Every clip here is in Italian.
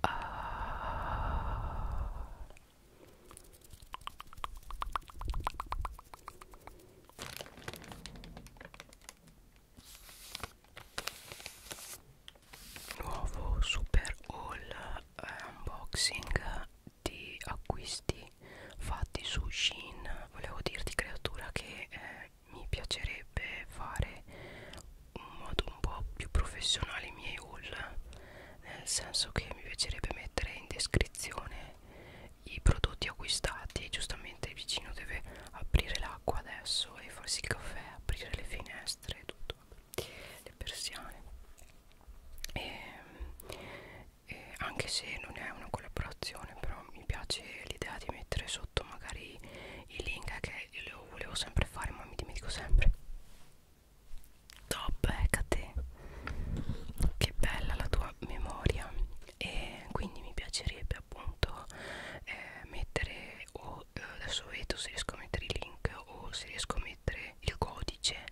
Ah. Nuovo super haul eh, unboxing di acquisti fatti su Shein. Volevo dirti creatura che eh, mi piacerebbe fare un modo un po' più professionale i miei haul nel senso che mi piacerebbe mettere in descrizione i prodotti acquistati giustamente il vicino deve aprire l'acqua adesso e farsi il caffè aprire le finestre tutto le persiane e, ehm, e anche se non è una collaborazione però mi piace l'idea di mettere sotto magari i link che io lo volevo sempre fare ma mi dimentico sempre top Hecate ecco che bella la tua memoria e quindi mi piacerebbe appunto eh, mettere o eh, adesso vedo se riesco a mettere i link o se riesco a mettere il codice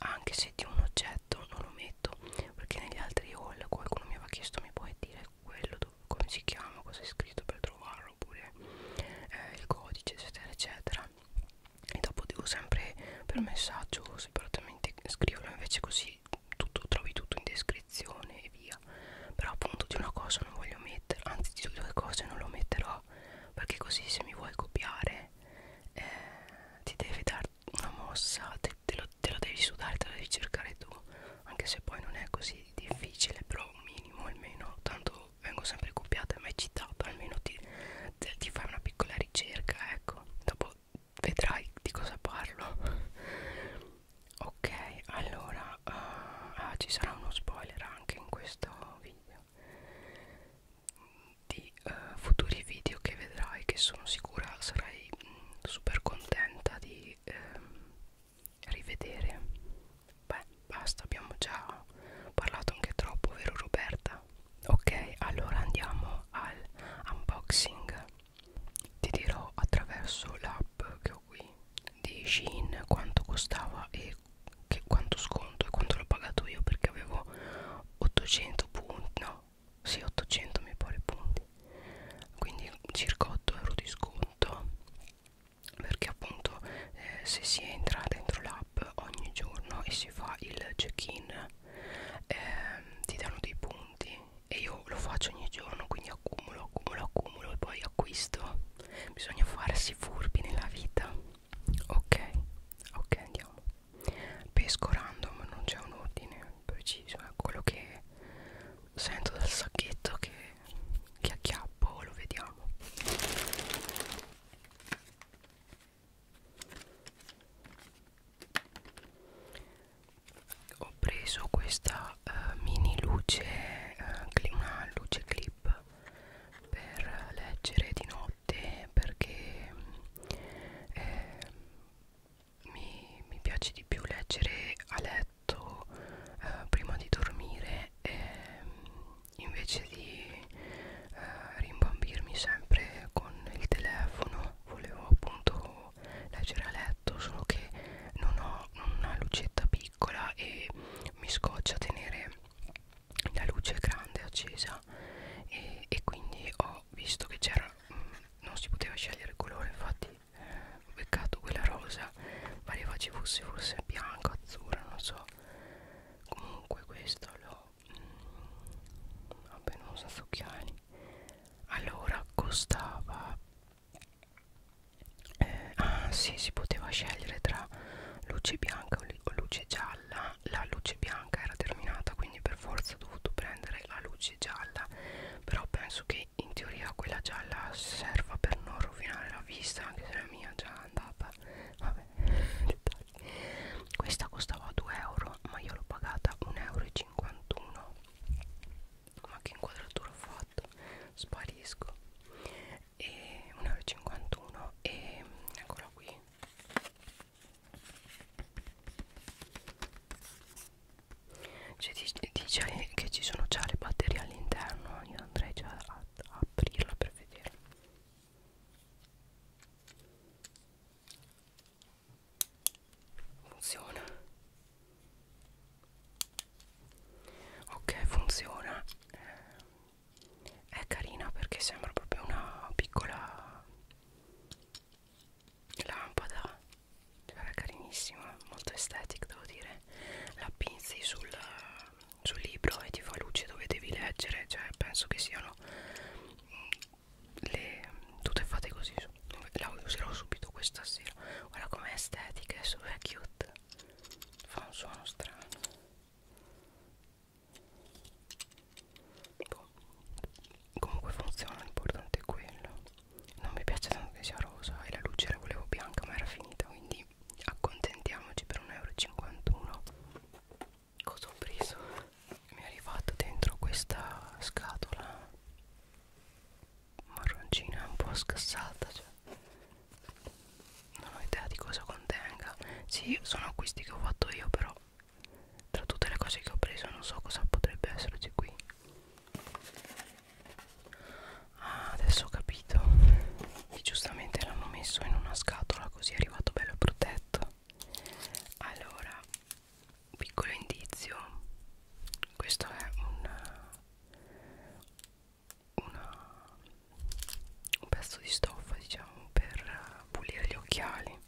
anche se di un oggetto non lo metto perché negli altri haul qualcuno mi aveva chiesto mi puoi dire quello dove, come si chiama cosa è scritto per trovarlo numero oppure eh, il codice eccetera eccetera e dopo devo sempre per messaggio separatamente scriverlo invece così tutto, trovi tutto in descrizione e via però appunto di una cosa non voglio mettere anzi di due cose non lo metterò perché così se mi vuoi copiare eh, ti devi dare una mossa te, te, lo, te lo devi sudare te lo devi cercare tu anche se poi non è così difficile però un minimo almeno tanto io vengo sempre copiata, mai citata, almeno ti, ti fai una piccola ricerca, ecco, dopo vedrai di cosa parlo. ok, allora uh, ah, ci sarà uno spoiler anche in questo video di uh, futuri video che vedrai che sono sicura sarai mh, mm, super contenta di ehm, rivedere Beh, basta, abbiamo già parlato anche troppo, vero Roberta? Ok, allora andiamo al unboxing. Ti dirò attraverso l'app che ho qui di Shein quanto costava e che quanto sconto e quanto l'ho pagato io perché avevo 800 punti, no, sì 800 mi pare punti, quindi circa 8 euro di sconto perché appunto eh, se si entra dentro l'app ogni giorno e si fa il check-in eh, ti danno dei punti e io lo faccio ogni giorno quindi accumulo accumulo accumulo e poi acquisto bisogna farsi furbi nella vita ok ok andiamo pesco random non c'è un ordine preciso è quello che sento dal sacchetto che, che acchiappo lo vediamo ho preso questa uh, mini luce uh, una luce clip per leggere di notte perché mm, eh, mi, mi piace di più leggere a letto eh, prima di dormire eh, invece di eh, rimbambirmi sempre con il telefono volevo appunto leggere a letto solo che non ho una lucetta piccola e mi scoccia tenere la luce grande accesa e, e quindi ho visto che c'era mm, non si poteva scegliere il colore infatti eh, ho beccato quella rosa pareva ci fosse forse bianca azzurra non so comunque questo l'ho mm, vabbè non so occhiali allora costava eh, ah sì si poteva scegliere tra luce bianca o luce gialla la luce bianca era terminata quindi per forza ho dovuto prendere la luce gialla però penso che in teoria quella gialla serva per non rovinare la vista anche se la mia già andava vabbè dettagli questa costava 2 euro ma io l'ho pagata 1,51 euro ma che inquadratura ho fatto sparisco e 1,51 euro e eccola qui cioè, dice che ci sono già le batterie all'interno io andrei già ad aprirla per vedere funziona ok funziona è carina perché sembra proprio una piccola lampada cioè è carinissima molto estetica devo dire la pinzi sul sul libro e ti fa luce dove devi leggere cioè penso che siano le tutte fatte così la userò subito questa sera guarda com'è estetica è super cute fa un suono strano boh. comunque funziona l'importante è quello non mi piace tanto che sia rosa e la luce la volevo bianca ma era finita quindi quindi accontentiamoci per 1,51 euro cosa ho preso? mi è arrivato dentro questa scatola marroncina un po' scassata cioè. non ho idea di cosa contenga sì sono acquisti che ho fatto io però tra tutte le cose che ho preso non so cosa potrebbe esserci qui ah, adesso ho capito e giustamente l'hanno messo in una scatola così è arrivato bello protetto allora piccolo indizio questo è un una, un pezzo di stoffa diciamo per pulire gli occhiali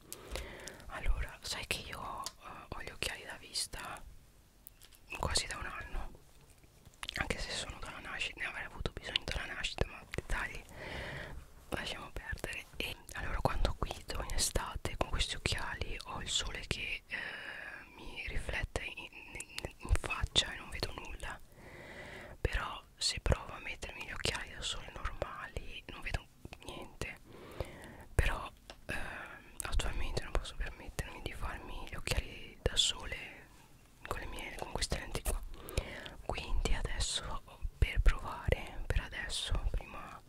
allora sai che io uh, ho gli occhiali da vista quasi da un anno anche se sono dalla nascita ne avrei avuto bisogno dalla nascita ma dettagli lasciamo perdere e allora quando guido in estate con questi occhiali ho il sole che eh, mi riflette in, in, in faccia e non vedo nulla però se provo a mettermi gli occhiali da sole normali non vedo niente però eh, attualmente non posso permettermi di farmi gli occhiali da sole con le mie con queste lenti qua quindi adesso per provare per adesso prima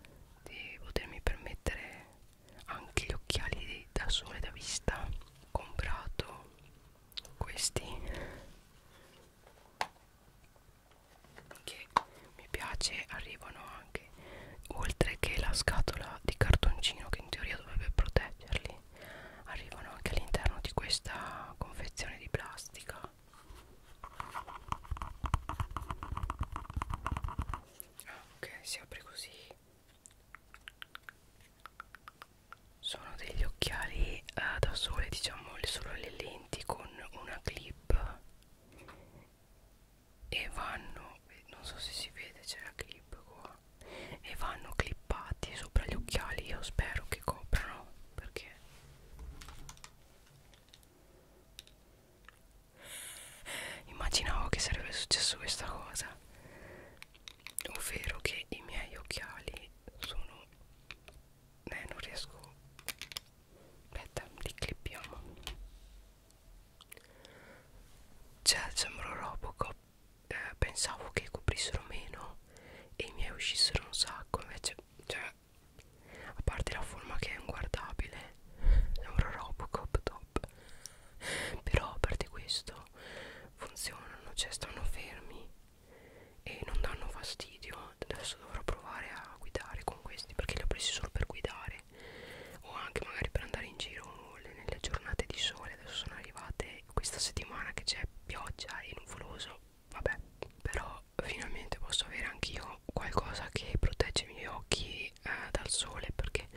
di potermi permettere anche gli occhiali da sole da vista ho comprato questi che mi piace arrivano anche oltre che la scatola di cartoncino che in teoria dovrebbe proteggerli arrivano anche all'interno di questa confezione di plastica ah, ok si apre così sono degli occhiali eh, da sole diciamo solo le lenti con una clip e vanno non so se si vede c'è la clip qua e vanno clippati sopra gli occhiali io spero che coprano perché immaginavo che sarebbe successo questa cosa ovvero che i miei occhiali sono eh non riesco aspetta li clippiamo cioè sembro Robocop eh, pensavo che coprissero meno no e i miei uscissero un sacco invece cioè a parte la forma che è inguardabile sembra Robocop top però a parte questo funzionano cioè stanno fermi e non danno fastidio adesso dovrò provare a guidare con questi perché li ho presi solo per guidare o anche magari per andare in giro nelle giornate di sole adesso sono arrivate questa settimana che c'è pioggia e nuvoloso vabbè però finalmente posso avere anch'io qualcosa che protegge i miei occhi eh, dal sole perché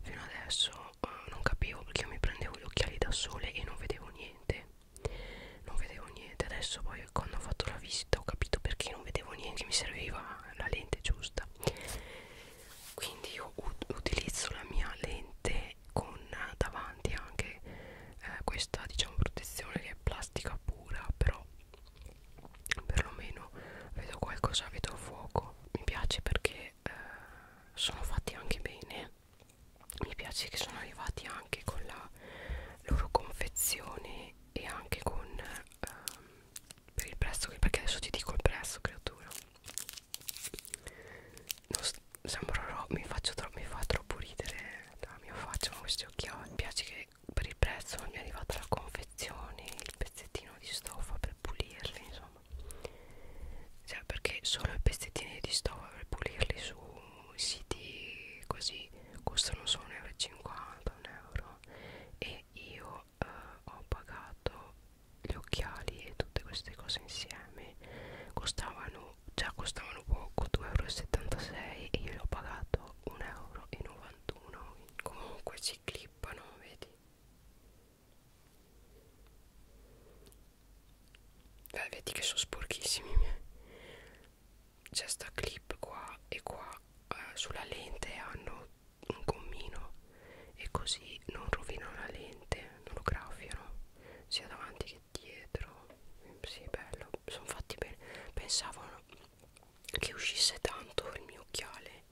fino adesso eh, non capivo perché io mi prendevo gli occhiali da sole e non vedevo niente non vedevo niente adesso poi quando ho fatto la visita ho capito perché non vedevo niente mi serviva la lente giusta quindi io utilizzo la mia lente con davanti anche eh, questa diciamo protezione che è plastica pura però perlomeno vedo qualcosa vedo fuoco mi piace perché eh, sono fatti anche bene mi piace che sono arrivati anche con la loro confezione e anche con ehm, per il prezzo perché adesso ti dico il prezzo creatura sembrerò, mi, faccio mi fa troppo ridere la mia faccia con questi occhiali. Oh, mi piace che per il prezzo mi è arrivata la confezione, il pezzettino di stoffa per pulirli, insomma. Cioè, perché solo i pezzettini di stoffa per pulirli su siti così costano solo 1,50 euro, euro e io eh, ho pagato gli occhiali e tutte queste cose insieme costavano già cioè, costavano poco 2,76 euro e io l'ho pagato 1,91 euro comunque si clippano vedi Beh, vedi che sono sporchissimi eh. c'è sta clip qua e qua eh, sulla lente hanno un gommino e così non rovinano la lente non lo graffiano sia davanti che anche dietro sì bello sono fatti bene pensavano che uscisse tanto il mio occhiale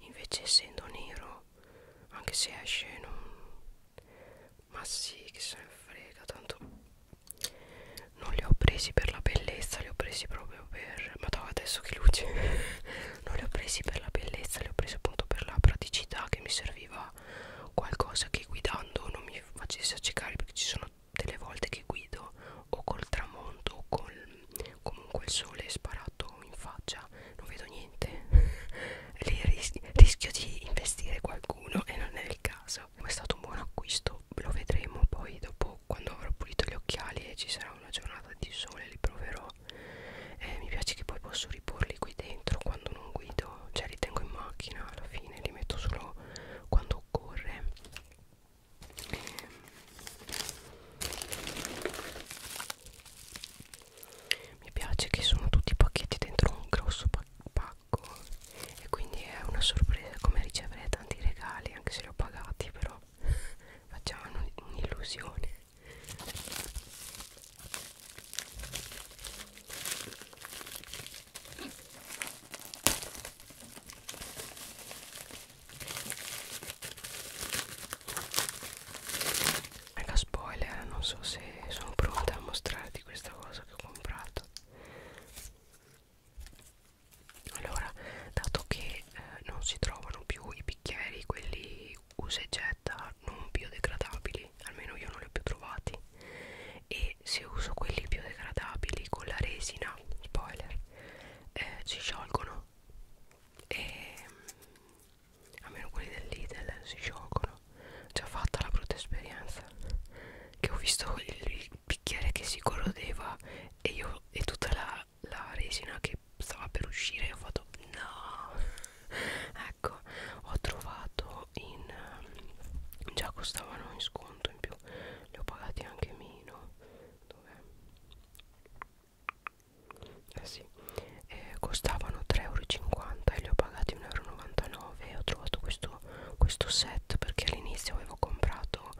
invece essendo nero anche se esce non ma sì che se ne frega tanto non li ho presi per la bellezza li ho presi proprio per ma no, adesso che luce non li ho presi per la bellezza li ho presi appunto per la praticità che mi serviva era qualcosa che guidando non mi facesse accecare perché ci sono delle volte che guido o col tramonto o col, comunque il sole sparato in faccia non vedo niente lì ris rischio di investire qualcuno e non è il caso ma è stato un buon acquisto lo vedremo poi dopo quando avrò pulito gli occhiali e ci sarà una giornata di sole li proverò eh, mi piace che poi posso riporli qui dentro quando non guido cioè li tengo in macchina alla fine li metto solo quando occorre eh, mi piace che sono tutti i pacchetti dentro un grosso pacco e quindi è una sorpresa come ricevere tanti regali anche se li ho pagati però facciamo un'illusione Mega spoiler, non so se sono pronta a mostrarti questa cosa che ho comprato. Allora, dato che eh, non si trovano più i bicchieri, quelli usa e getta, non biodegradabili, almeno io non li ho più trovati, e e se uso quelli biodegradabili con la resina spoiler eh, si sciolgono e mm, almeno quelli del Lidl eh, si sciolgono già fatta la brutta esperienza che ho visto il bicchiere che si corrodeva e io e tutta la, la resina che stava per uscire e ho fatto no ecco ho trovato euro in ehm, già costavano in sconto in più li ho pagati anche meno dov'è? Eh sì, eh, costavano 3,50 euro e li ho pagati 1,99 euro e ho trovato questo, questo set perché all'inizio avevo comprato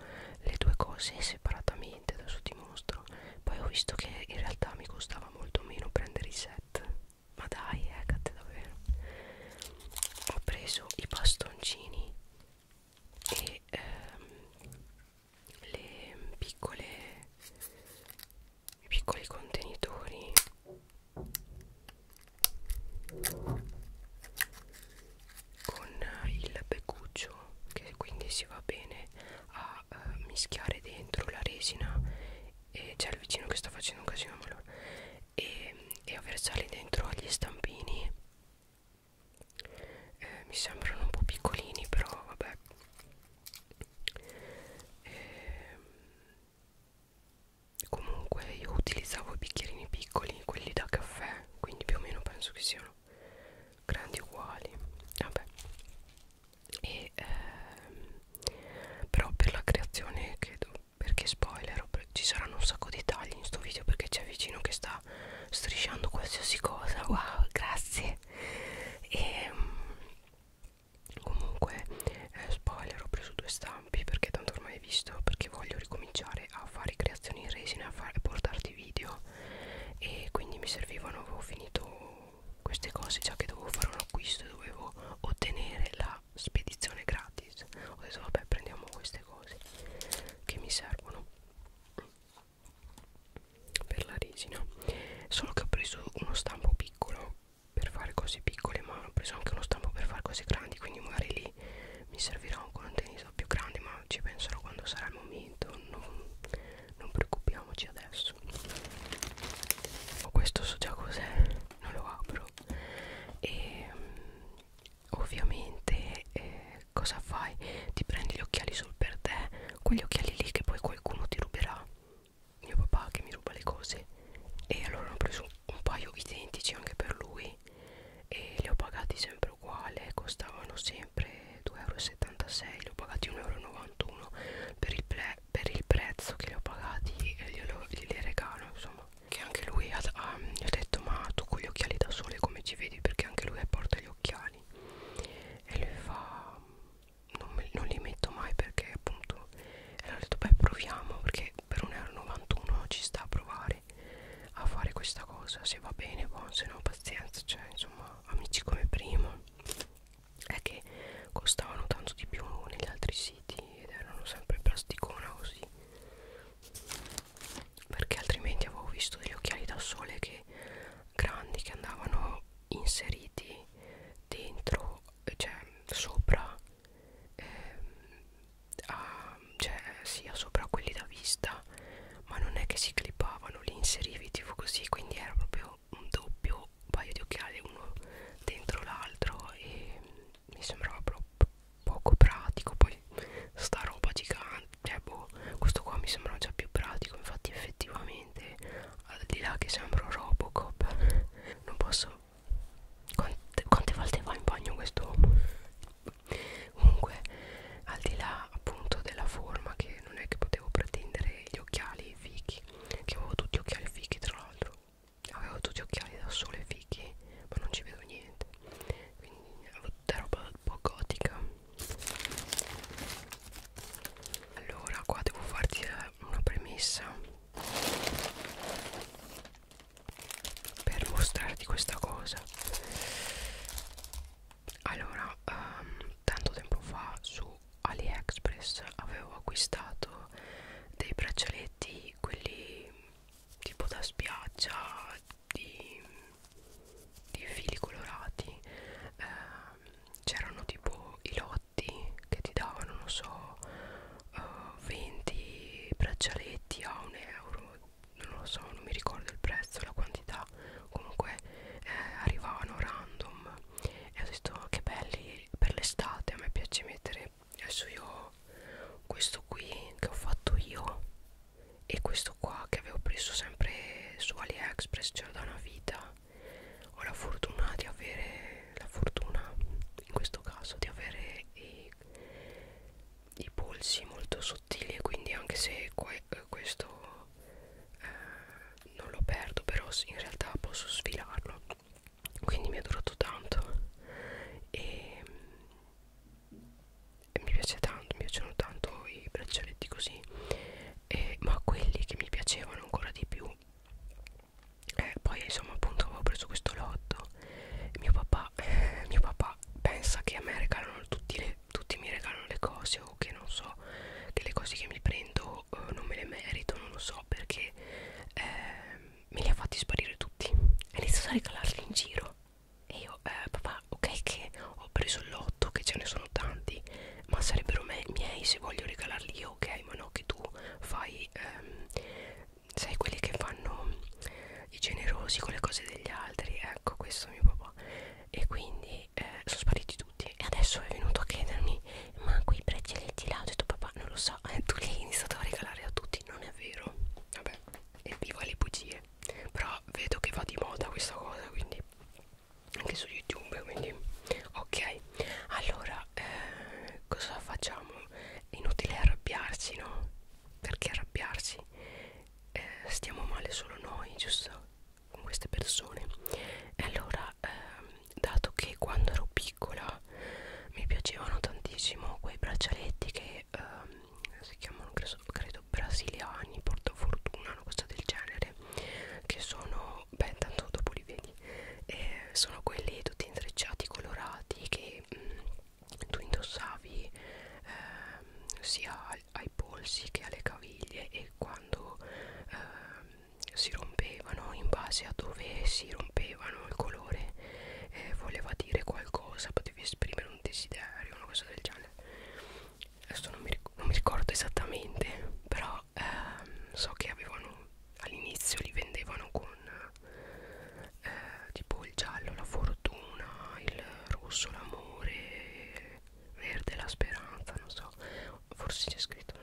le due cose separatamente, adesso ti mostro poi ho visto che in realtà mi costava molto meno prendere i set ma dai, eh, cazzo davvero ho preso i bastoncini e ehm, le piccole i piccoli contenitori con il beccuccio che quindi si va bene a eh, mischiare dentro la resina e c'è il vicino che sta facendo un casino malore e e, e a versarli dentro agli stampini eh, mi sembrano un po' piccolini però vabbè eh, comunque io utilizzavo i bicchierini piccoli quelli da caffè quindi più o meno penso che siano grandi uguali vabbè e, ehm, però per la creazione che do, perché spoiler ci saranno un sacco di tagli in sto video perché c'è vicino che sta strisciando qualsiasi cosa wow grazie e ehm, comunque eh, spoiler ho preso due stampi perché tanto ormai hai visto perché voglio ricominciare a fare creazioni in resina a fare, portarti video e quindi mi servivano avevo finito queste cose già che dovevo fare un acquisto dovevo ottenere la spedizione gratis ho detto vabbè prendiamo queste cose che mi servono per la resina solo che ho preso uno stampo piccolo per fare cose piccole ma ho preso anche uno stampo per fare cose grandi quindi magari lì mi servirà un contenitore più grande ma ci penserò quando sarà il momento non, non preoccupiamoci adesso questo so già cos'è non lo apro e ovviamente eh, cosa fai? Ti prendi gli occhiali solo per te, quegli occhiali lì che poi qualcuno ti ruberà. Mio papà che mi ruba le cose. E allora ho preso un paio identici anche per lui e li ho pagati sempre uguale, costavano sempre 2,76 euro, li ho pagati 1,91 euro per il, pre per il prezzo che li ho pagati e glieli regalo, insomma che anche lui ha, ha, gli ho detto ma tu con gli occhiali da sole come ci vedi perché anche lui porta gli occhiali e lui fa non, me, non li metto mai perché appunto e allora ho detto beh proviamo perché per 1,91€ ci sta a provare a fare questa cosa se va bene buon se no pazienza cioè insomma amici come primo è che costavano tanto di più negli altri siti ed erano sempre plasticona così perché altrimenti avevo visto degli occhiali da sole che grandi che andavano inseriti dentro cioè sopra ehm, a, cioè sia sopra quelli da vista ma non è che si clippavano li inserivi tipo così quindi era proprio un doppio paio di occhiali uno dentro l'altro e mi sembrava proprio poco pratico poi sta roba gigante cioè boh questo qua mi sembrava già più pratico infatti effettivamente al di là che sembro Robocop non posso quante, quante volte va in bagno quest'uomo comunque al di là appunto della forma che non è che potevo pretendere gli occhiali fichi che avevo tutti occhiali fichi tra l'altro avevo tutti occhiali da sole fichi sai che ma non ci vedo niente quindi tutta roba un po' gotica allora qua devo farti una premessa per mostrarti questa cosa allora um, tanto tempo fa su AliExpress avevo acquistato dei braccialetti quelli tipo da spiaggia di, di fili colorati eh, c'erano tipo i lotti che ti davano non so eh, 20 braccialetti a un euro non lo so non mi ricordo il prezzo la quantità comunque eh, arrivavano random e ho detto oh, che belli per l'estate a me piace mettere adesso io questo qui che ho fatto io e questo qua che avevo preso sempre su AliExpress c'era da una vita ho la fortuna di avere la fortuna in questo caso di avere i, i polsi molto sottili e quindi anche se que, eh, questo eh, non lo perdo però in realtà posso sfilarlo quindi mi è durato tanto e mi piace tanto mi piacciono tanto i braccialetti così e, ma quelli che mi piacevano ancora di più eh, poi insomma appunto avevo preso questo lotto mio papà eh, mio papà pensa che a me regalano tutti, le, tutti mi regalano le cose o che non so che le cose che mi prendo eh, non me le merito non lo so perché eh, me li ha fatti sparire tutti e inizia a regalarli in giro e io, eh, papà, ok che ho preso il lotto, che ce ne sono tanti, ma sarebbero me, miei se voglio regalarli io, ok? Ma no, che tu fai, ehm, sai, quelli che fanno i generosi con le cose degli altri, ecco, questo mio papà. E quindi eh, sono spariti tutti. E adesso è venuto a chiedermi, ma quei braccialetti là, ho detto papà, non lo so, eh, tu li hai iniziato a regalare a tutti, non è vero? Vabbè, e viva le bugie però vedo che va di moda questa cosa quindi anche su youtube quindi ok allora eh, cosa facciamo è inutile arrabbiarsi no perché arrabbiarsi eh, stiamo male solo noi giusto con queste persone e allora eh, dato che quando ero piccola mi piacevano tantissimo quei braccialetti che eh, si chiamano credo, credo brasiliani portafortuna una cosa del genere che sono beh tanto dopo li vedi eh, sono quelli tutti intrecciati colorati che mh, mm, tu indossavi eh, sia ai, ai polsi che alle caviglie e quando eh, si rompevano in base a dove si rompevano il colore eh, voleva dire qualcosa potevi esprimere un desiderio, una cosa del genere. Adesso non mi, ric non mi ricordo esattamente, però ehm, so che avevano all'inizio li vendevano con eh, tipo il giallo, la fortuna, il rosso, l'amore, il verde, la speranza, non so, forse c'è scritto.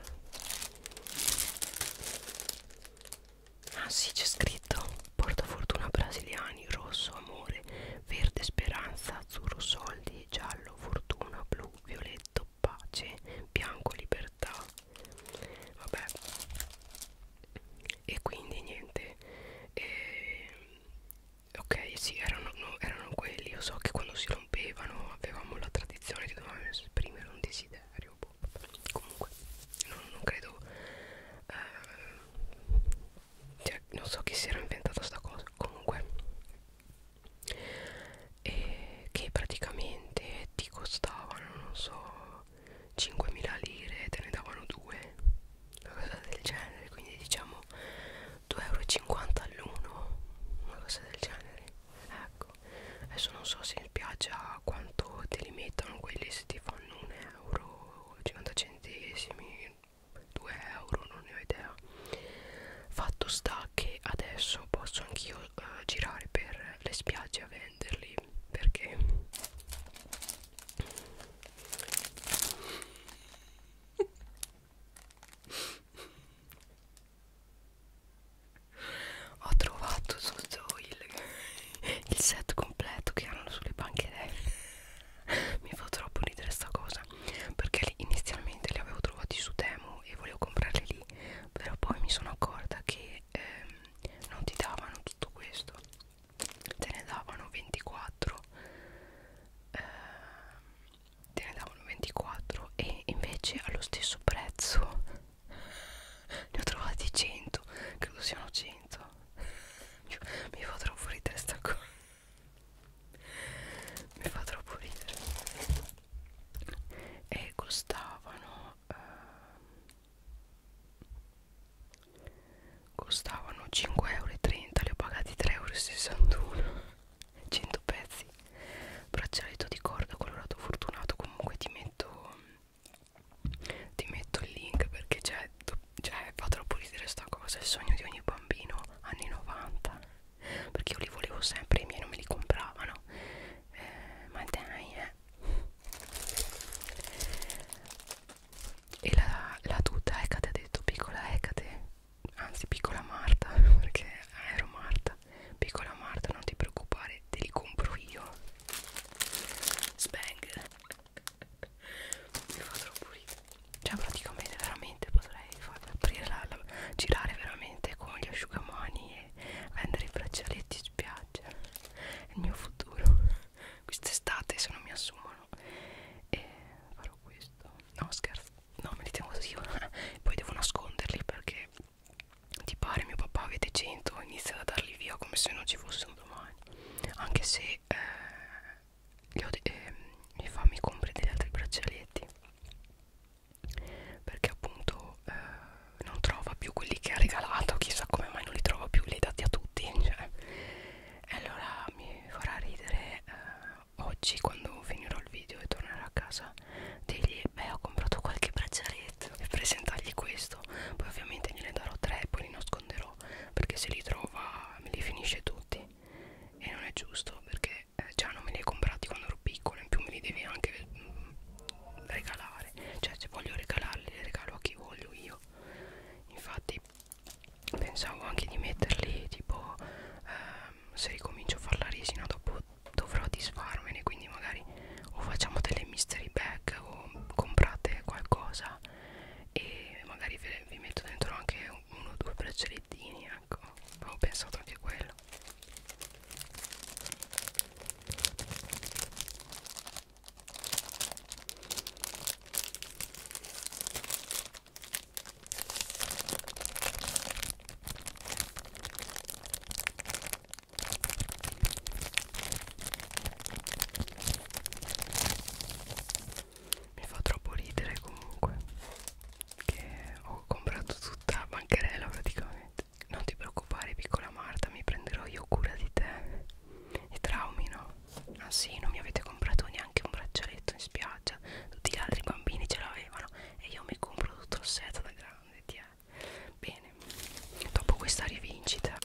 Ah sì, c'è scritto portafortuna brasiliani rosso amore verde speranza azzurro soldi giallo fortuna blu violetto pace bianco libertà vabbè e quindi niente e, ok sì erano, no, erano quelli io so che quando si rompevano avevamo la tradizione che dovevamo esprimere un desiderio boh. comunque non, non credo eh, cioè, non so chi si era inventata sta cosa comunque e che praticamente ti costavano non so 5.000 lire te ne davano 2 una cosa del genere quindi diciamo 2,50 euro all'uno una cosa del genere ecco adesso non so se in spiaggia quanto te li mettono quelli se ti fanno 1 euro 50 centesimi 2 euro non ne ho idea fatto sta che adesso posso anch'io eh, girare per le spiagge a venderli perché ho trovato tutto il, il set completo che hanno sulle bancherelle mi fa troppo ridere sta cosa perché inizialmente li avevo trovati su Temu e volevo comprarli lì però poi mi sono accorta che ehm, non ti davano tutto questo te ne davano 24 eh, te ne davano 24 e invece allo stesso prezzo ne ho trovati 100 credo siano 100 qua mi fa troppo ridere sta qua mi fa troppo ridere e costavano eh, costavano 5,30 euro li ho pagati 3,61 euro 100 pezzi braccialetto di corda colorato fortunato comunque ti metto ti metto il link perché c'è cioè fa troppo ridere sta cosa, il sogno di ogni bambino anni 90 perché io li volevo sempre, i miei non me li compravano eh, ma dai eh e la, la tuta Ecate ha detto piccola Ecate anzi piccola Marta perché ah, ero Marta piccola Marta non ti preoccupare te li compro io Spang mi fa troppo ridere cioè praticamente veramente potrei farmi aprire la, la, girare veramente con gli asciugamani e vendere i braccialetti in spiaggia è il mio futuro quest'estate se non mi assumono e eh, farò questo no scherzo no me li tengo così poi devo nasconderli perché ti pare mio papà avete 100 inizia a darli via come se non ci fossero domani anche se eh, io, eh, mi fa mi compri degli altri braccialetti perché appunto eh, non trova più quelli che ha regalato chissà come mai non li trova più li hai dati a tutti cioè. e allora mi farà ridere eh, oggi quando finirò il video e tornerò a casa dirgli beh ho comprato qualche braccialetto e presentargli questo poi ovviamente gliene darò tre poi li nasconderò po' perché se li trova me li finisce tutti e non è giusto perché eh, già non me li hai comprati quando ero piccolo in più me li devi anche mm, regalare cioè se voglio regalarli li regalo a chi voglio io infatti pensavo anche di metterli tipo ehm, se ricomincio a fare la resina dopo dovrò disfarmene quindi magari o facciamo delle mystery bag o comprate qualcosa e magari ve, vi metto dentro anche uno o due braccialettini ecco avevo pensato anche a quello mi fa troppo ridere comunque che ho comprato tutta bancherella praticamente non ti preoccupare piccola Marta mi prenderò io cura di te i traumi no? ah sì non mi avete comprato neanche un braccialetto in spiaggia tutti gli altri bambini ce l'avevano e io mi compro tutto il set da grande ti è bene dopo questa rivincita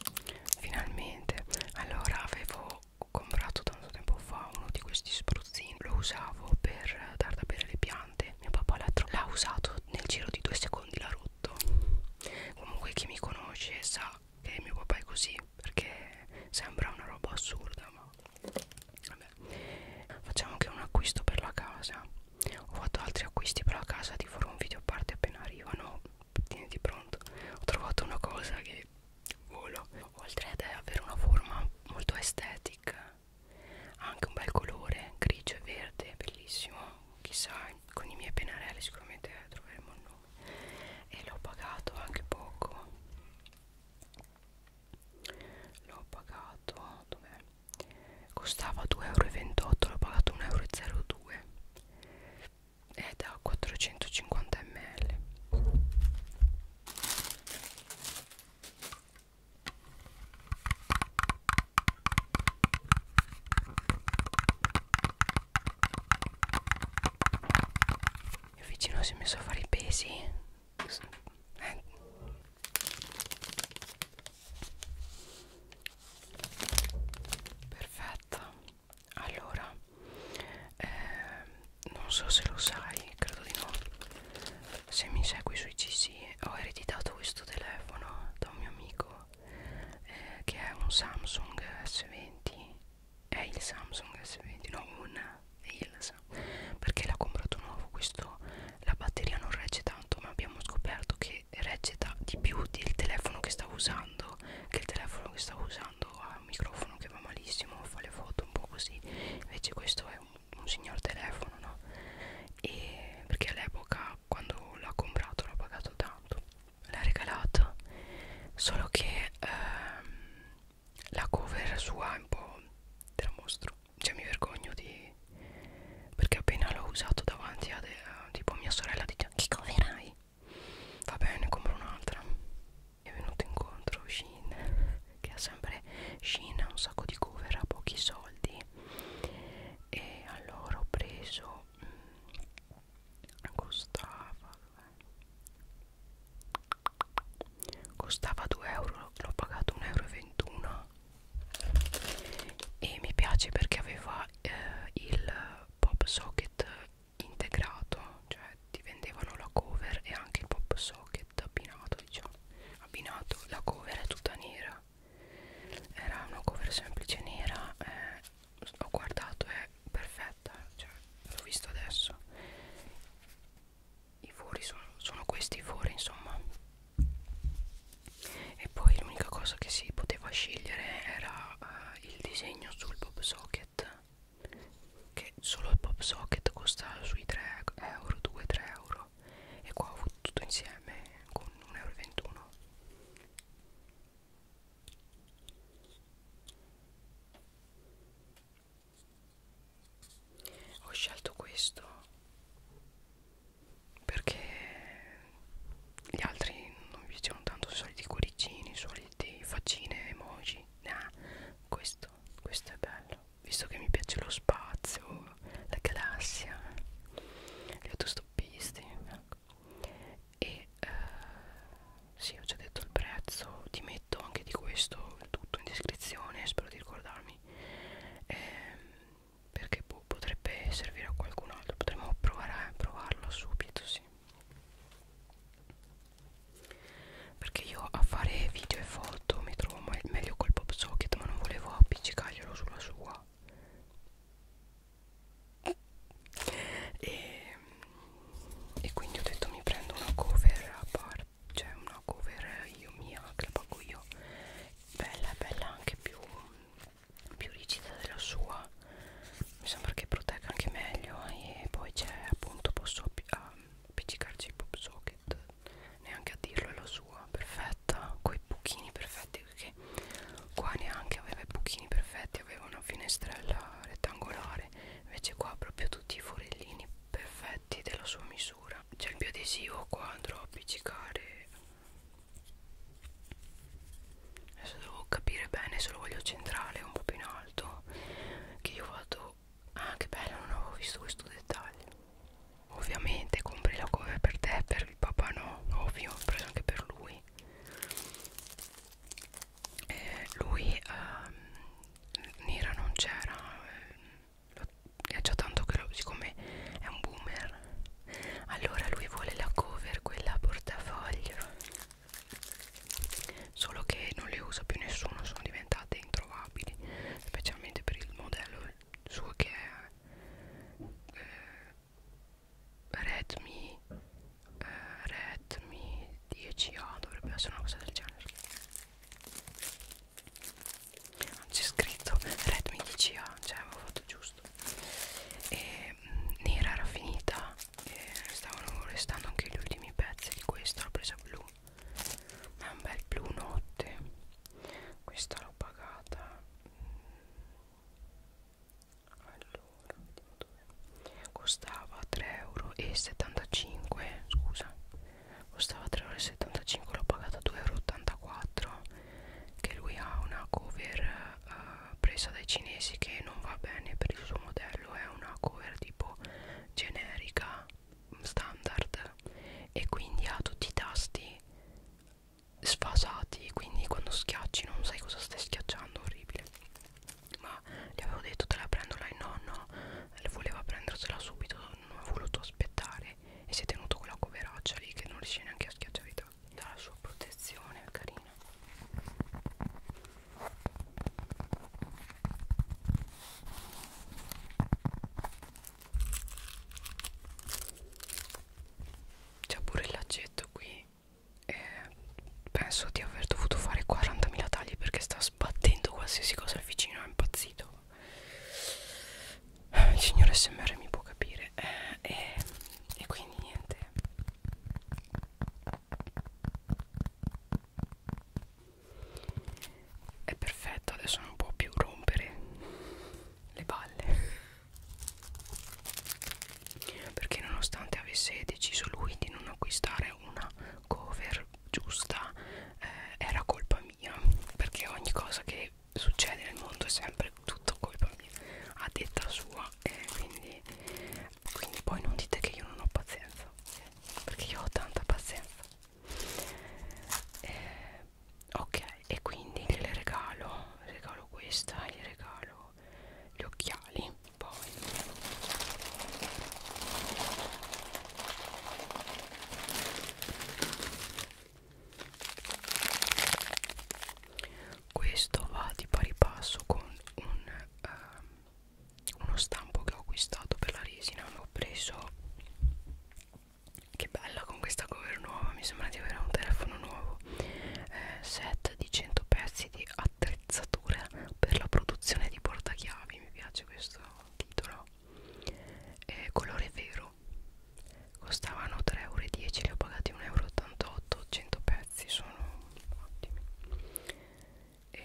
finalmente allora avevo ho comprato tanto tempo fa uno di questi spruzzini lo usavo per dar da bere le piante mio papà l'ha usato nel giro di due secondi l'ha rotto comunque chi mi conosce sa che mio papà è così perché sembra una roba assurda ma vabbè facciamo anche un acquisto per la casa ho fatto altri acquisti per la casa ti farò un video a parte appena arrivano tieniti pronto ho trovato una cosa che volo oltre ad avere una forma molto estetica ha anche un bel colore grigio e verde bellissimo chissà con i miei pennarelli sicuramente troveremo il nome e l'ho pagato anche poco l'ho pagato dov'è costava 2,28 euro l'ho pagato 1,02 euro eh, è da 450 ml il vicino si è messo a fare i pesi eh. perfetto allora eh, non so se lo sai credo di no se mi segui sui cc ho ereditato questo telefono da un mio amico eh, che è un samsung s20 è il samsung s20 no un è il samsung perché l'ha comprato nuovo questo la batteria non regge tanto ma abbiamo scoperto che regge di più del telefono che stavo usando che il telefono che stavo usando ha un microfono che va malissimo fa le foto un po' così invece questo è un, un signor telefono no? e perché all'epoca quando l'ha comprato l'ha pagato tanto l'ha regalato solo che ehm, la cover sua è un po' te la mostro cioè mi vergogno di perché appena l'ho usato davanti a de, tipo mia sorella dice che cover hai va bene compro un'altra è venuto incontro Shein che ha sempre Shein ha un sacco di cover a pochi soldi e allora ho preso mh, mm, costava costava 2 euro l'ho pagato 1,21 euro e mi piace perché aveva eh, il pop socket integrato cioè ti vendevano la cover e anche il pop socket abbinato diciamo abbinato la cover è tutta nera era una cover semplice nera eh, ho guardato è perfetta cioè l'ho visto adesso i fori sono, sono questi i fori insomma e poi l'unica cosa che si poteva scegliere era eh, il disegno sul pop socket Socket che solo il Pop Socket costa sui 3 euro 2-3 euro e qua ho avuto tutto insieme con 1,21 euro ho scelto questo perché gli altri non mi piacevano tanto i soliti cuoricini, i soliti faccine, emoji nah, questo questo è bello visto che mi piace lo spazio la galassia gli autostoppisti ecco. e eh, sì ho già detto il prezzo ti metto anche di questo tutto in descrizione spero di ricordarmi eh, perché boh, potrebbe servire a qualcun altro potremmo provare a provarlo subito sì perché io a fare video e foto mi trovo meglio col pop socket ma non volevo appiccicarglielo sulla sua e, e quindi ho detto mi prendo una cover a parte cioè una cover io mia che la pago io bella bella anche più più rigida della sua mi sembra che protegga anche meglio e poi c'è appunto posso appiccicarci il pop socket neanche a dirlo è la sua perfetta coi buchini perfetti perché qua neanche aveva i buchini perfetti aveva una finestrella rettangolare invece qua proprio tutti i forellini perfetti della sua misura c'è il biodesivo qua andrò a appiccicare adesso devo capire bene se lo voglio centrale un po' più in alto che io vado Ah che bello non avevo visto questo dettaglio Ovviamente compri la cover per te Per il papà no Ovvio ho preso anche per lui eh, Lui ehm, Nira non c'era eh, È già tanto che lo, Siccome è un boomer Allora lui vuole la cover Quella a portafoglio solo che non le usa più nessuno sono diventate introvabili specialmente per il modello suo che è eh, Redmi eh, Redmi 10A dovrebbe essere una cosa del genere c'è scritto Redmi 10A cioè avevo fatto giusto e mh, mm, nera era finita e stavano restando anche gli ultimi pezzi di questa l'ho presa blu ma è un bel blu notte questa l'ho pagata allora vediamo dove costava 3,75 euro scusa costava 3,75 euro l'ho pagata 2,84 euro che lui ha una cover uh, presa dai cinesi che non va bene per il suo modello è una cover tipo generica standard e quindi ha tutti i tasti sfasati quindi quando schiacci non sai cosa stai schiacciando orribile ma gli avevo detto te la prendo là il nonno voleva prendersela subito non ha voluto aspettare e si è tenuto quella coveraccia lì che non riesce neanche a schiacciare i tasti dalla sua protezione carina c'è pure il lacetto qui e penso di aver dovuto fare 40.000 tagli perché sta sbattendo qualsiasi cosa al vicino, è impazzito. Il signor SMR mi può capire eh, eh, e quindi niente è perfetto adesso non può più rompere le balle perché nonostante avesse deciso lui di non acquistare una cover giusta eh, era colpa mia perché ogni cosa che succede nel mondo è sempre tutto colpa mia a detta sua eh, quindi, quindi poi non dite che io non ho pazienza perché io ho tanta pazienza eh, ok e quindi gliele regalo regalo questa gli regalo gli occhiali poi questo va di pari passo con un uh, uno stampo che ho acquistato per la resina l'ho preso che bella con questa cover nuova mi sembra di avere un telefono nuovo eh, set di 100 pezzi di attrezzature per la produzione di portachiavi mi piace questo titolo eh, colore vero costavano 3,10 euro li ho pagati 1,88 euro 100 pezzi sono ottimi e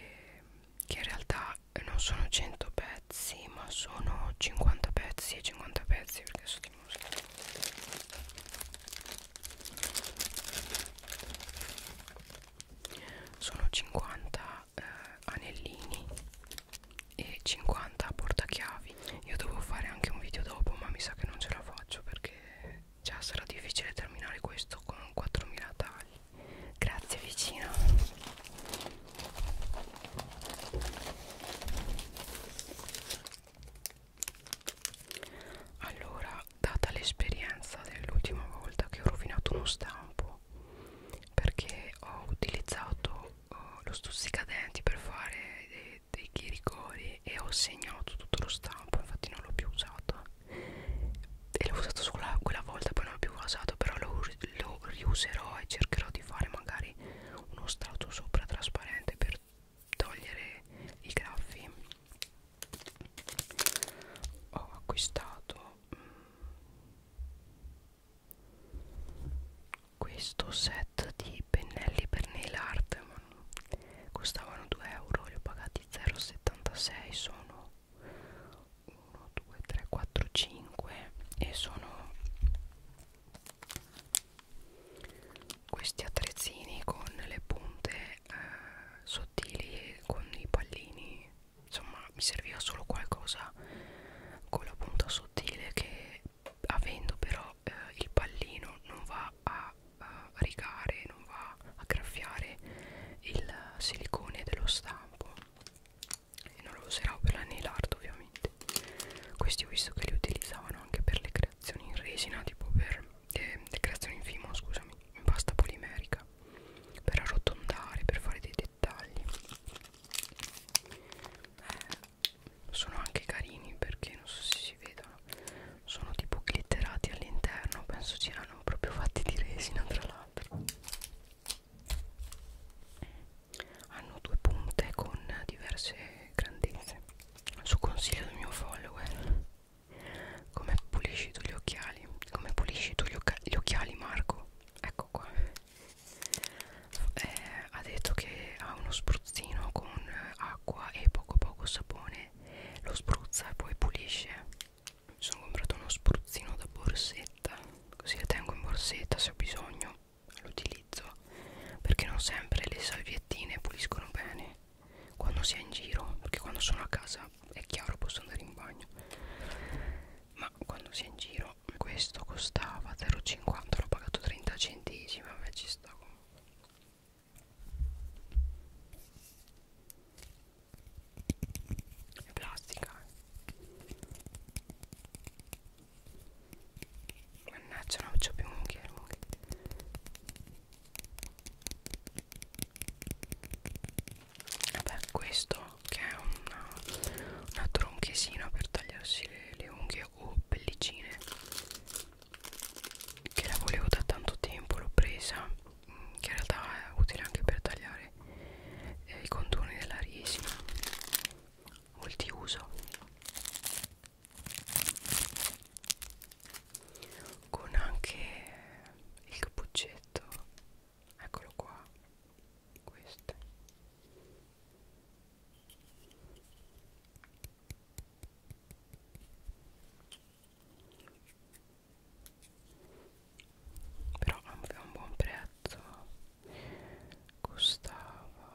che in realtà non sono 100 pezzi ma sono 50 pezzi e 50 pezzi perché sono di musica sono 50 eh, anellini e 50 portachiavi io devo fare anche un video dopo ma mi sa che non ce la faccio perché già sarà difficile terminare questo con 4000 tagli grazie vicino allora data l'esperienza dell'ultima volta che ho rovinato uno stampo perché ho utilizzato uh, lo stuzzicadenti per fare dei, dei rigori e ho segnato tutto lo stampo infatti non l'ho più usato e l'ho usato solo quella volta poi non l'ho più usato però lo, lo riuserò e cercherò di fare magari uno strato sopra trasparente per togliere i graffi ho acquistato mm, questo set di pennelli per nail art costavano 2 euro li ho pagati 0,76 sono 1 2 3 4 5 e sono questi attrezzini con le punte eh, sottili con i pallini insomma mi serviva solo qualcosa con la punta sottile che avendo però eh, il pallino non va a, a rigare non va a graffiare il silicone dello stampo e non lo userò per la nail art ovviamente questi ho visto che li utilizzavano anche per le creazioni in resina tipo per eh, le creazioni in fimo scusami in pasta polimerica per arrotondare per fare dei dettagli eh, sono anche carini perché non so se si vedono sono tipo glitterati all'interno penso ci erano proprio fatti di resina tra l'altro hanno due punte con diverse grandezze su consiglio del mio follower come pulisci tu gli occhiali come pulisci tu gli, gli occhiali Marco ecco qua eh, ha detto che ha uno spruzzino con acqua e poco poco sapone lo spruzza e poi pulisce mi sono comprato uno spruzzino da borsetta così la tengo in borsetta se ho bisogno l'utilizzo perché non sempre le salviettine puliscono bene quando si è in giro perché quando sono a casa è chiaro posso andare in bagno ma quando si è in giro questo costava 0,50 l'ho pagato 30 centesimi vabbè ci sta comunque è plastica mannaggia non c'ho più unghie vabbè questo che è una, una tronchesina per tagliarsi le, le unghie o pellicine che la volevo da tanto tempo l'ho presa che in realtà è utile anche per tagliare eh, i contorni della resina multiuso con anche il cappuccetto eccolo qua queste però aveva un buon prezzo costava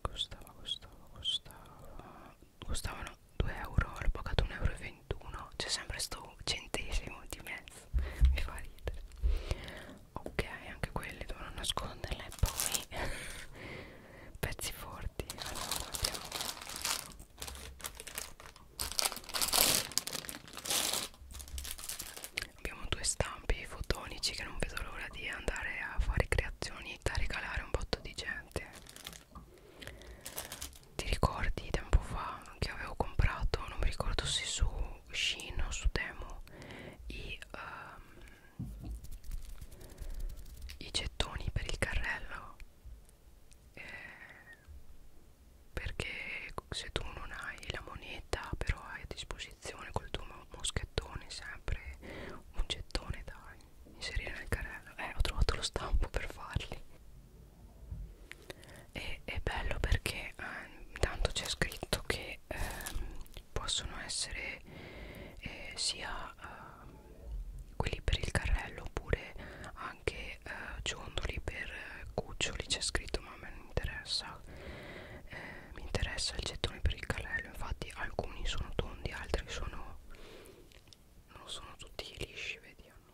costava costava costava costavano 2 euro l'ho pagato 1,21 euro c'è sempre sto centesimo di mezzo mi fa ridere ok anche quelli devono nasconderle e poi pezzi forti allora abbiamo abbiamo due stampi fotonici che non vedo l'ora di andare a fare creazioni da regalare a un botto di gente ti ricordi tempo fa che avevo comprato non mi ricordo se su Shin o su Temu i, um, i gettoni per il carrello eh, perché se tu non hai la moneta però hai a disposizione col tuo moschettone sempre un gettone da inserire nel carrello eh ho trovato lo stampo per farli e è bello perché eh, tanto c'è scritto che eh, possono essere eh, sia eh, quelli per il carrello oppure anche eh, ciondoli per eh, cuccioli c'è scritto ma a me non interessa eh, mi interessa il gettone per il carrello infatti alcuni sono tondi altri sono non sono tutti lisci vedi hanno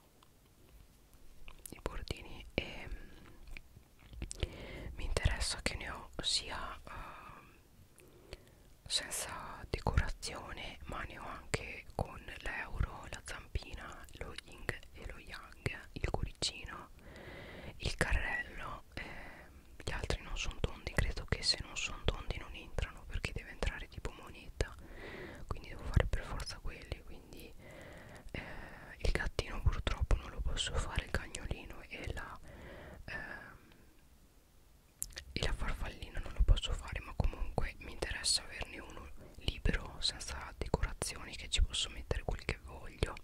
i bordini e mm, mi interessa che ne ho sia uh, senza decorazione ma ne ho anche con l'euro la zampina lo ying e lo yang il cuoricino il carrello eh, gli altri non sono tondi credo che se non sono tondi non entrano perché deve entrare tipo moneta quindi devo fare per forza quelli quindi eh, il gattino purtroppo non lo posso fare il cagnolino e la eh, e la farfallina non lo posso fare ma comunque mi interessa averne uno libero senza decorazioni che ci posso mettere quel che voglio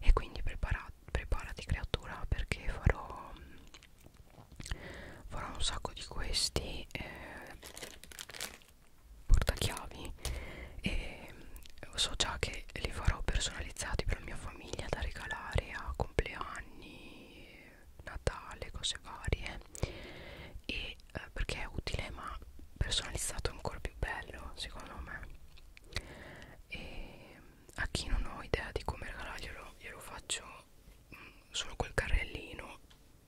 e quindi prepara, preparati creatura perché farò farò un sacco di questi eh, portachiavi e so già che li farò personalizzati per la mia famiglia da regalare a compleanni natale cose varie e eh, perché è utile ma personalizzato è ancora più bello secondo me e a chi non ho idea di come regalarglielo glielo faccio mh, mm, solo quel carrellino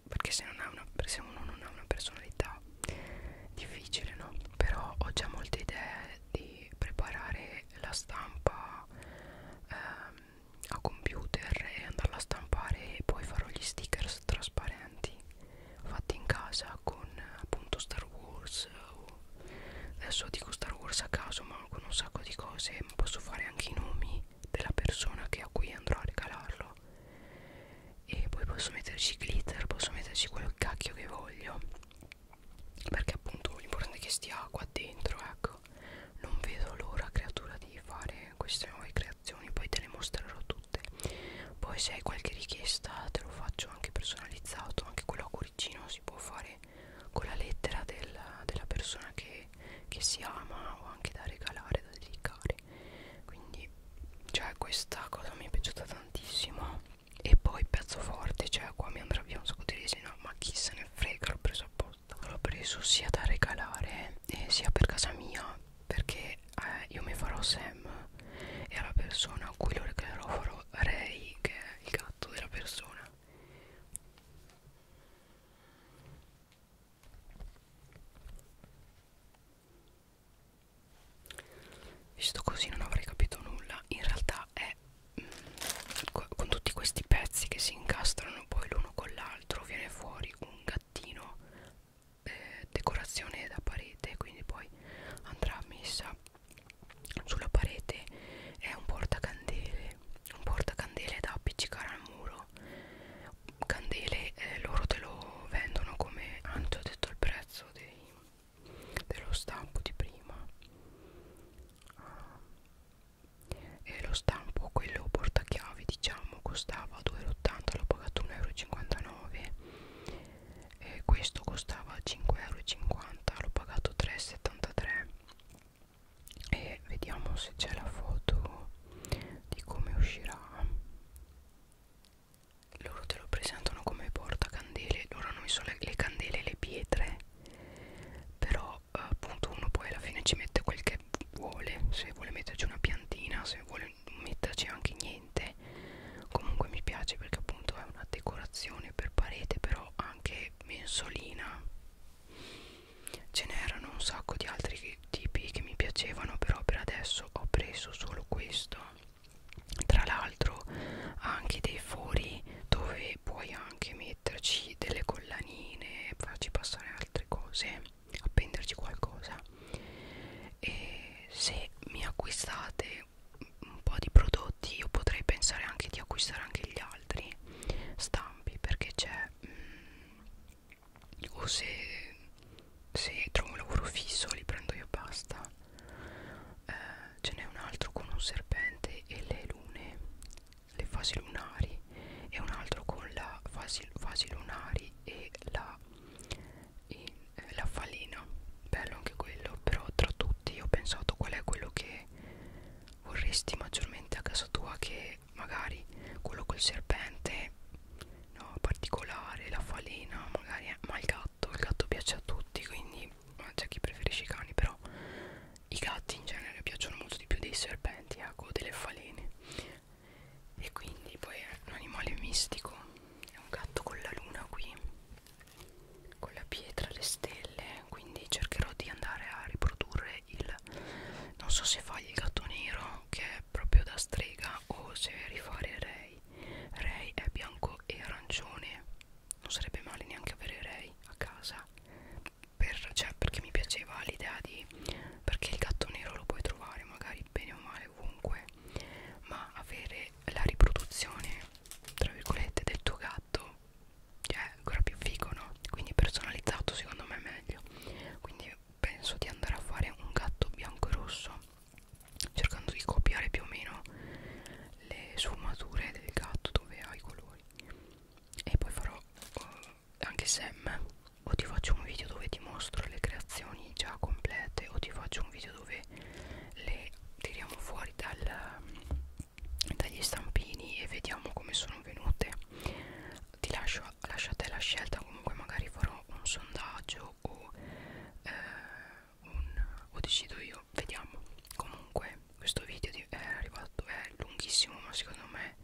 perché se, non una, se uno non ha una personalità difficile no però ho già molte idee di preparare la stampa ehm, a computer e andarla a stampare e poi farò gli stickers trasparenti fatti in casa con appunto Star Wars o adesso dico Star Wars a caso ma con un sacco di cose posso fare anche i nomi della persona che a cui andrò a regalarlo e poi posso metterci glitter posso metterci quello cacchio che voglio perché appunto l'importante è che stia qua dentro ecco non vedo l'ora creatura di fare queste nuove creazioni poi te le mostrerò tutte poi se hai qualche richiesta te lo faccio anche personalizzato anche quello a cuoricino si può fare con la lettera del, della persona che, che si ama o anche da regalare da dedicare quindi cioè questa cosa mi è piaciuta tantissimo e poi pezzo forte cioè qua mi andrà via un sacco di resina ma chi se ne frega l'ho preso apposta l'ho preso sia da regalare eh, sia per casa mia perché eh, io mi farò Sam e alla persona a cui lo reglerò farò Ray che è il gatto della persona visto così non avrei capito nulla in realtà è mh, mm, con tutti questi pezzi che si incastrano poi l'uno con l'altro viene fuori un gattino eh, decorazione da parete quindi poi andrà messa sulla parete è un portacandele, un portacandele da appiccicare al muro. Candele eh, loro te lo vendono come, ah, già ho detto il prezzo dei, dello stampo di prima. Ah. E lo stampo, quello portachiavi, diciamo, costava 2,80, l'ho pagato 1,59 euro e questo costava 5,50€ l'ho pagato 3,73 e vediamo se c'è la foto di come uscirà loro te lo presentano come portacandele loro hanno messo le, le candele e le pietre però eh, appunto uno poi alla fine ci mette quel che vuole se vuole metterci una piantina se vuole metterci anche niente veramente comunque mi piace perché appunto è una decorazione per parete però anche mensolina ce n'erano un sacco di altri tipi che mi piacevano però per adesso ho preso solo questo tra l'altro ha anche dei fori dove puoi anche metterci delle collanine farci passare altre cose appenderci qualcosa e se mi acquistate comprare un po' di prodotti io potrei pensare anche di acquistare anche gli altri stampi perché c'è mm, o se, se trovo un lavoro fisso li prendo io basta eh, ce n'è un altro con un serpente e le lune le fasi lunari e un altro con la fasi, fasi lunari e la e eh, la falina bello anche quello però tra tutti ho pensato qual è quello che vorresti maggiormente a casa tua che magari quello col serpente no particolare la falina magari eh, ma il gatto il gatto piace a tutti quindi eh, c'è chi preferisce i cani però i gatti in genere piacciono molto di più dei serpenti ecco eh, delle falene e quindi poi è un animale mistico è un gatto con la luna qui con la pietra le stelle quindi cercherò di andare a riprodurre il non so se fai il gatto nero che è proprio da strega o se rifare Ray Ray è bianco e arancione non sarebbe male neanche avere Ray a casa per, cioè, perché mi piaceva l'idea di perché il gatto nero lo puoi trovare magari bene o male ovunque ma avere la riproduzione tra virgolette del tuo gatto cioè è ancora più figo no quindi personalizzato secondo me è meglio quindi penso di andare a fare un gatto bianco e rosso cercando di copiare più o meno le sfumature del gatto dove ha i colori e poi farò uh, anche Sam o ti faccio un video dove ti mostro le creazioni già complete o ti faccio un video dove nuove le tiriamo fuori dal, dagli stampini e vediamo come sono venute ti lascio lasciate la scelta comunque magari farò un sondaggio o, eh, un, o decido io vediamo comunque questo video è arrivato è lunghissimo ma secondo me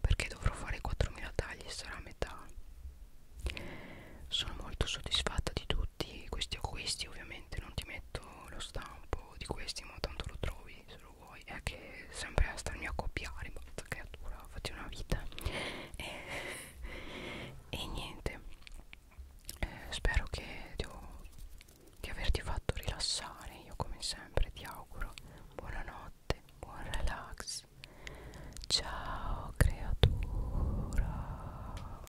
perché dovrò fare 4000 tagli sarà metà sono molto soddisfatta di tutti questi acquisti ovviamente ovviamente non ti metto lo stampo di questi ma tanto lo trovi se lo vuoi è che sempre a starmi a copiare basta creatura faccio una vita e, e niente eh, spero che ti ho, di averti fatto rilassare io come sempre ti auguro buonanotte buon relax ciao creatura